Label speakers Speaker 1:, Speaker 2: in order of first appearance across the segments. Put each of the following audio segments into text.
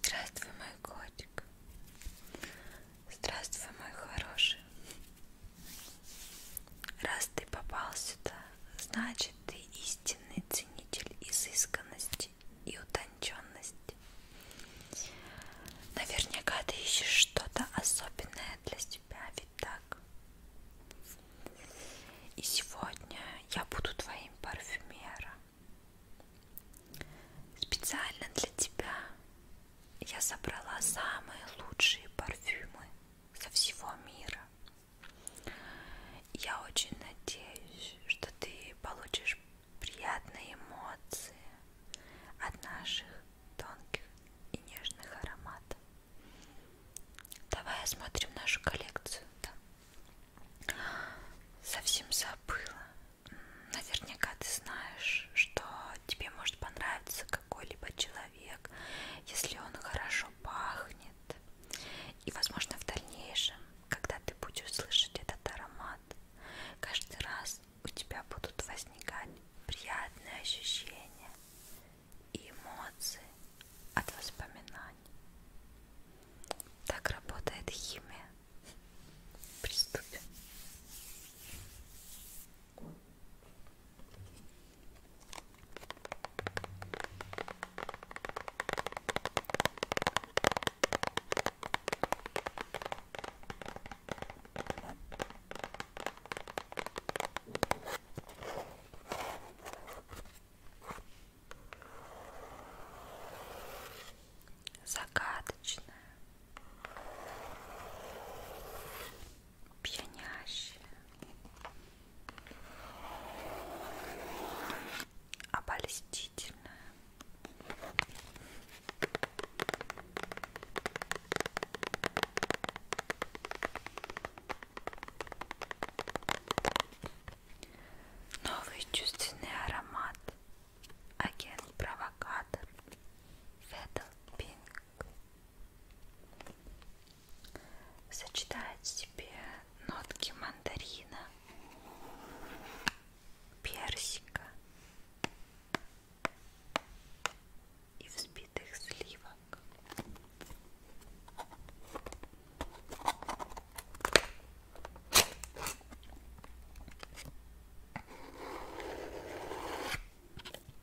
Speaker 1: Здравствуй, мой котик. Здравствуй, мой хороший. Раз ты попал сюда, значит ты истинный ценитель изысканности и утонченности. Наверняка ты ищешь что-то особенное для себя, ведь так? И сегодня я буду твоим парфюмером. Специально для тебя я собрала самые лучшие парфюмы со всего мира я очень надеюсь, что ты получишь приятные эмоции от наших тонких и нежных ароматов. Давай осмотрим нашу коллекцию. Да. Совсем забыла. Наверняка ты знаешь, что тебе может понравиться какой-либо человек, если он хорошо пахнет станет. И, возможно, в дальнейшем, когда ты будешь слышать этот аромат, каждый раз у тебя будут возникать приятные ощущения и эмоции от воспоминаний. Так работает химия. Приступим. Загадочная пьянящее. Обольстительное. Новый чувственный аромат. Агент-провокатор. Фетл Пинк сочетает в себе нотки мандарина, персика и взбитых сливок.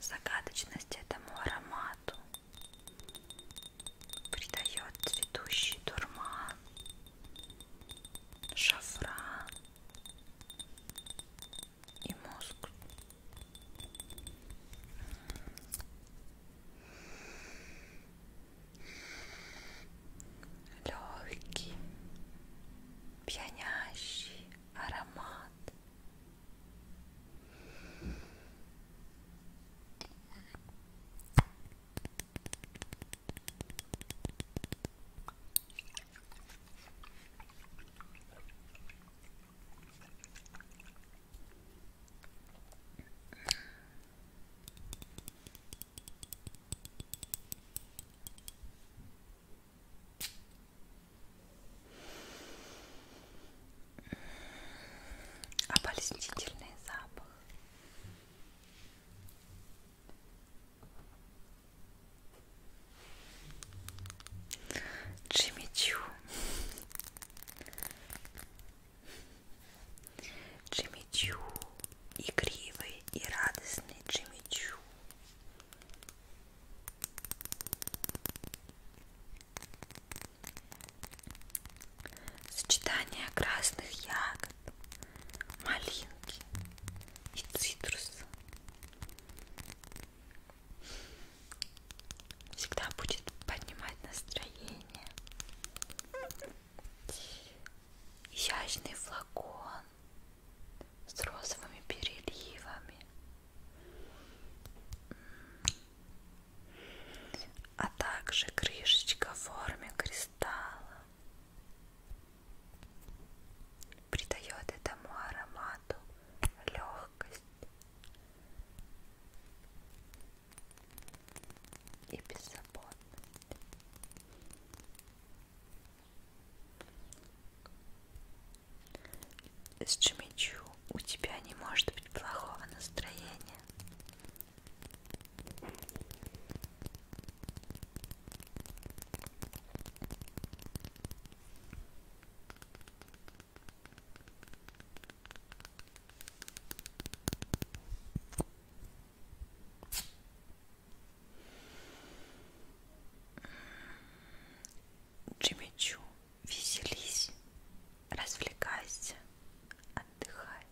Speaker 1: Загадочность этому аромату придает цветущий дурман, шафран и мозг легкий, пьянящий аромат. Обольстительный запах. Джимми Чу. Джимми Чу, игривый и радостный Джимми Чу. Сочетание красных ягод, малинки и цитруса всегда будет поднимать настроение. Изящный флакон с розовыми переливами. А также крышечка в форме кристалла придает этому аромату легкость и беззаботность. С Джимичу у тебя не может быть плохого настроения. Джимми Чу, веселись, развлекайся, отдыхай.